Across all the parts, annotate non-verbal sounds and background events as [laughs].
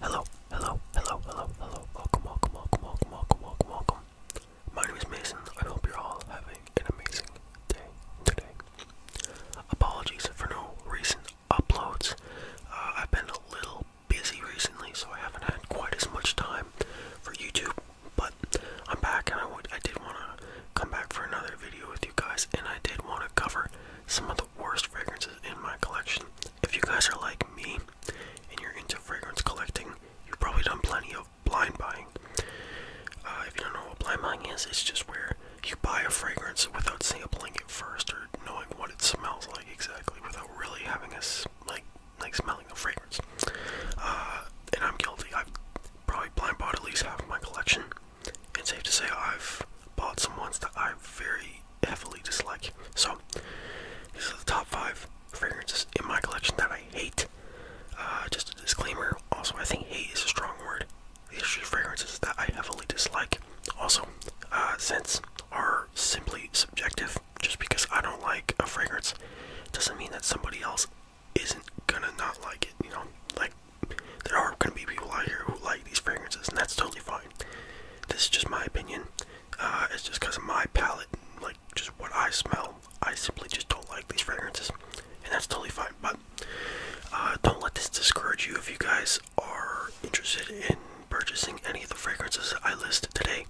Hello, hello, hello, hello, hello. Welcome, welcome, welcome, welcome, welcome, welcome, welcome. My name is Mason. I hope you're all having an amazing day today. Apologies for no recent uploads. Uh, I've been a little busy recently, so I haven't had quite as much time for YouTube. But I'm back, and I, would, I did want to come back for another video with you guys, and I did want to cover some of the worst fragrances in my collection. If you guys are like me and you're into fragrance collecting, you've probably done plenty of blind buying. Uh, if you don't know what blind buying is, it's just where you buy a fragrance without sampling it first or knowing what it smells like exactly, without really having a like like smelling the fragrance. Uh, and I'm guilty. I've probably blind bought at least half of my collection and safe to say I've bought some ones that I very heavily dislike. So these are the top five fragrances in my collection that I hate. Uh, just a disclaimer. Also, I think hate is a strong word. These are fragrances that I heavily dislike. Also, uh, scents are simply subjective. Just because I don't like a fragrance doesn't mean that somebody else isn't gonna not like it, you know? Like, there are gonna be people out here who like these fragrances, and that's totally fine. This is just my opinion. Uh, it's just because of my palate, and, like, just what I smell. I simply just don't like these fragrances, and that's totally fine. But uh, don't let this discourage you if you guys are interested in purchasing any of the fragrances I listed today.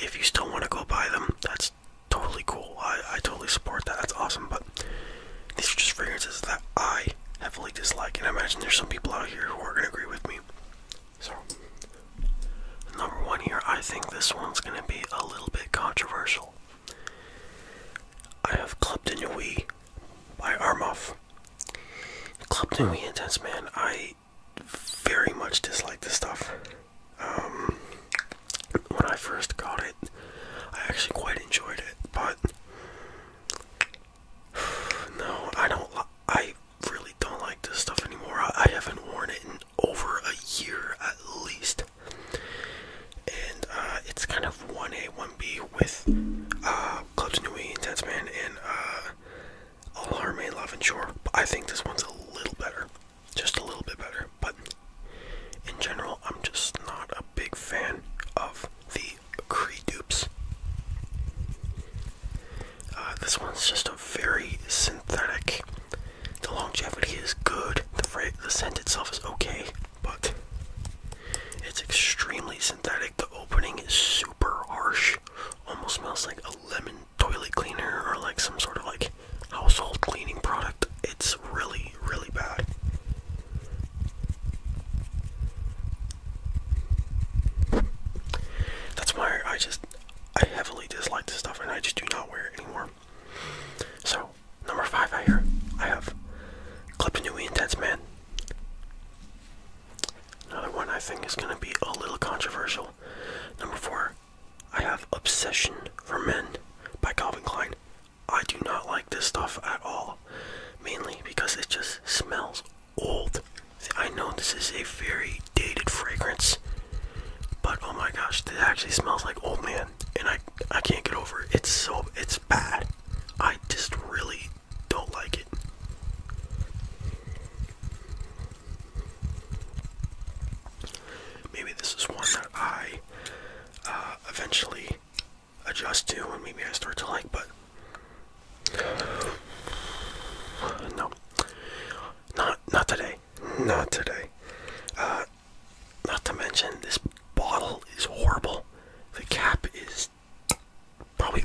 If you still want to go buy them, that's totally cool. I, I totally support that. That's awesome. But these are just fragrances that I heavily dislike, and I imagine there's some people out here who are gonna agree with me. So, number one here, I think this one's gonna be a little bit controversial. I have Clubden Yui by Armoff. Clubden Yui Intense Man, I very much dislike this stuff. Um, when I first got it, I actually quite enjoyed it, but [sighs] no, I don't. I really don't like this stuff anymore. I, haven't worn it in over a year at least, and uh, it's kind of one A, one B with uh, Clubs Nui, Intense Man, and uh, All Our Main Love and Shore. I think this one's a little better just a little bit better. But in general, I'm just not a big fan of the Cree dupes. Uh, this one's just a very synthetic. The longevity is good. the scent itself is okay, but it's extremely synthetic. The opening is super harsh. Almost smells like a lemon toilet cleaner or like some sort of like household cleaning product. It's really, really bad. That's why I just I heavily dislike this stuff and I just do not wear it anymore. So, number five I hear I have Clipanui Intense Man. Another one I think is gonna be a little controversial. Number four, I have Obsession for Men by Calvin Klein. I do not like this stuff at all, mainly because it just smells old. I know this is a very dated fragrance, but oh my gosh, this actually smells like old man, and I I can't get over it. It's so it's bad. I just really don't like it. Maybe this is one that I uh, eventually adjust to, and maybe I start to like, but no, not not today, not today. Uh, not to mention, this bottle is horrible. The cap is probably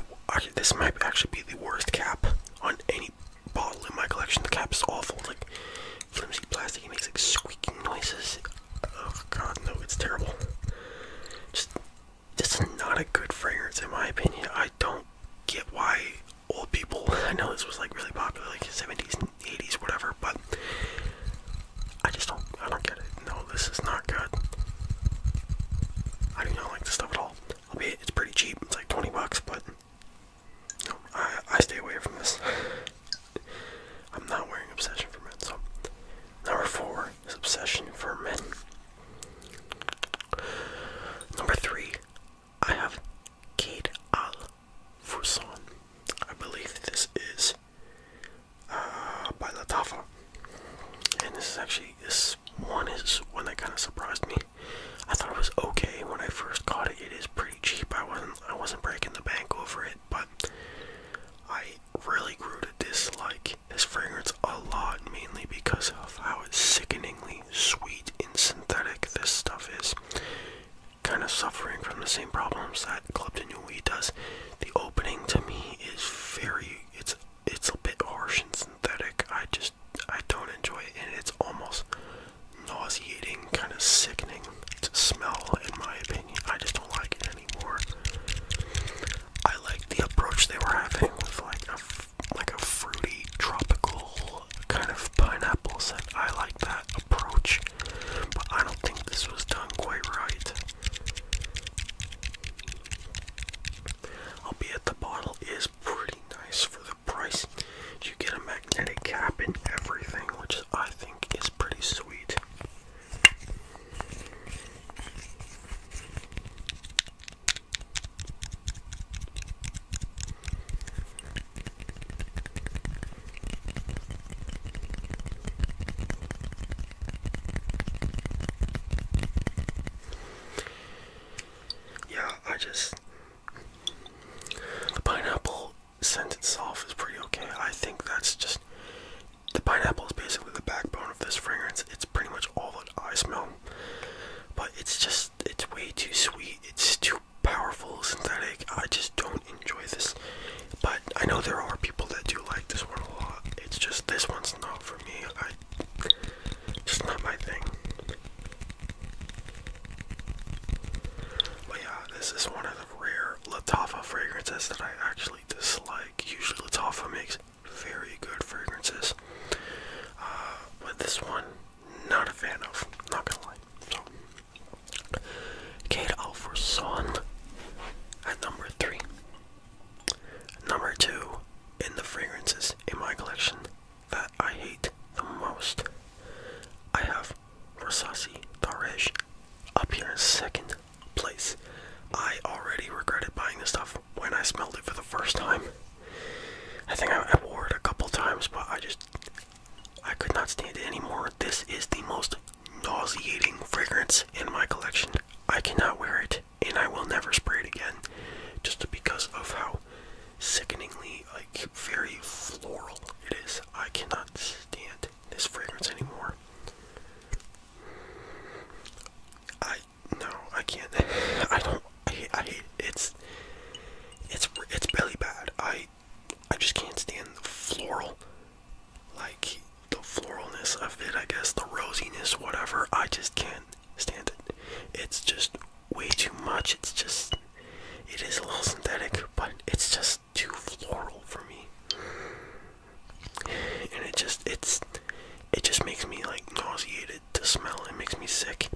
this might actually be the worst cap on any bottle in my collection. The cap is awful. like flimsy plastic. It makes like squeaking noises. Oh god, no, it's terrible. Just, this is not a good fragrance in my opinion. I don't get why old people. [laughs] I know this was like really popular, like 70s 80s, whatever. But I just don't. I don't get it. No, this is not good. I do not like this stuff at all. I'll be. it's pretty cheap. It's like 20 bucks, but no, I, I stay away from this. I'm not wearing Obsession for Men. So, number four is Obsession for Men. Number three, I have Kate Al Fuson. I believe this is uh, by Latafa. And this is actually, this one is one that kind of surprised me. I thought it was okay when I first got it. It is pretty cheap. I wasn't I wasn't breaking the bank over it, but I really grew to dislike this fragrance a lot, mainly because of how sickeningly sweet and synthetic this stuff is. Kind of suffering from the same problems that Club de Nuit does. The opening to me is very it's it's a bit harsh and synthetic. I just I don't enjoy it, and it's almost nauseating, kind of sickening to smell, in my opinion. I just don't like it anymore. I like the approach they were having with like a like a fruity tropical kind of pineapple scent. I like that approach, but I don't think this was done quite right. Albeit the bottle is pretty nice for price. You get a magnetic cap and everything, which I think is pretty sweet. Yeah, I just the pineapple scent itself is pretty okay. I think that's just the pineapple is basically the backbone of this fragrance. It's pretty much all that I smell. But it's just it's way too sweet. It's too powerful synthetic. I just don't enjoy this. But I know there are people that do like this one a lot. It's just this one's not for me. Just not my thing. But yeah, this is one of the rare Latafa fragrances that I actually dislike. Usually Latafa makes very good fragrances. Uh, but this one, not a fan of. Not gonna lie. So, Kate Alverson at number three. Number two in the fragrances in my collection that I hate the most. I have Rosasi Taresh up here in second place. I already regretted buying this stuff when I smelled it for the first time. I think I wore it a couple times, but I just I could not stand it anymore. This is the most nauseating fragrance in my collection. I cannot wear it and I will never spray it again just because of how sickeningly like very floral it is. I cannot stand this fragrance anymore. I no, I can't. [laughs] I don't. I hate. it. It's it's it's really bad. I I just can't stand the floral, like the floralness of it. I guess the rosiness, whatever. I just can't stand it. It's just way too much. It's just, it is a little synthetic, but it's just too floral for me. And it just, it's, it just makes me like nauseated to smell. It makes me sick.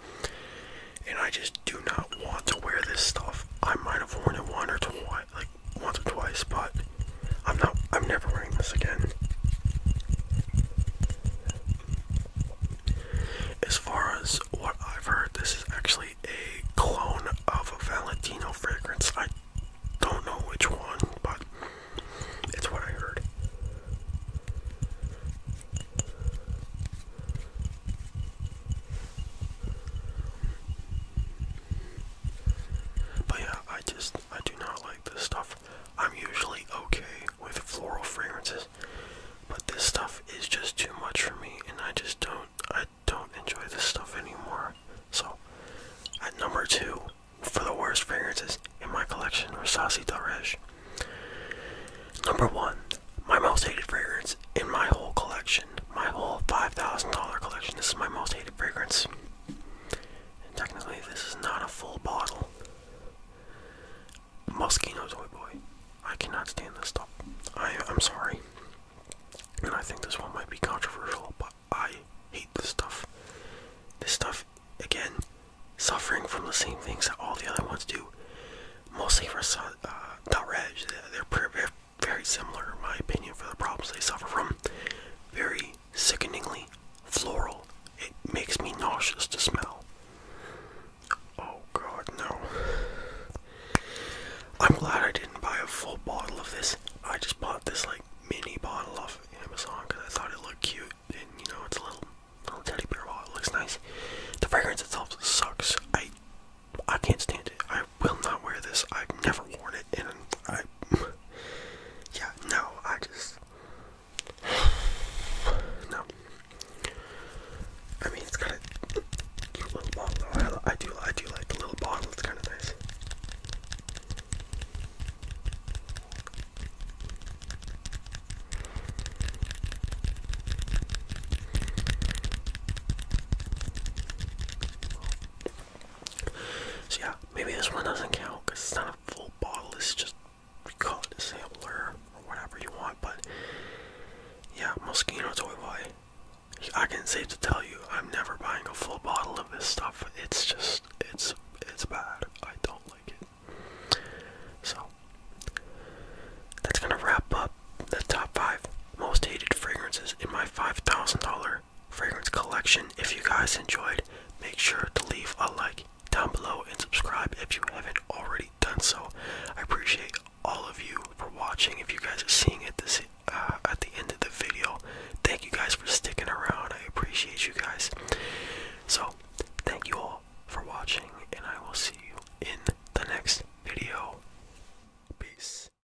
And I just do not want to wear this stuff. I might have worn it one or two like once or twice, but I'm not, I'm never wearing this again. As far as what I've heard, this is actually a clone of a Valentino fragrance. I don't know which one, but it's what I heard. But yeah, I just I do not like this stuff I'm usually okay with floral fragrances, but this stuff is just too much for me, and I just don't I don't enjoy this stuff anymore. So, at number two for the worst fragrances in my collection are Sassy Daresh. Number one, my most hated fragrance in my whole collection, my whole $5,000 collection. This is my most hated fragrance. And technically, this is not a full bottle. Moschino Toy Boy. I cannot stand this stuff. I, am sorry. And I think this one might be controversial, but I hate this stuff. This stuff, again, suffering from the same things that all the other ones do. Mostly for uh, Darage, they're very similar, in my opinion, for the problems they suffer from. Very sickeningly floral. It makes me nauseous to smell. Oh god, no. I'm glad I didn't buy a full bottle of this. I just bought this like mini bottle off Amazon because I thought it looked cute. And you know, it's a little, little teddy bear bottle. It looks nice. The fragrance itself sucks. I I can't stand it. I will not wear this. I've never worn it and I, yeah, no, I just, [sighs] no. I mean, it's kind of cute little bottle. I, do, I do like the little bottle. It's kind of nice. So yeah, maybe this one doesn't count because it's not a full bottle. It's just we call it a sampler or whatever you want. But yeah, Moschino Toy Boy. I can safe to tell you, I'm never buying a full bottle of this stuff. It's just, it's, it's bad. I don't like it. So that's gonna wrap up the top five most hated fragrances in my $5,000 fragrance collection. If you guys enjoyed, make sure to leave a like down below and subscribe if you haven't already done so. I appreciate all of you for watching. If you guys are seeing it this uh, at the end of the video, thank you guys for sticking around. I appreciate you guys. So, thank you all for watching, and I will see you in the next video. Peace.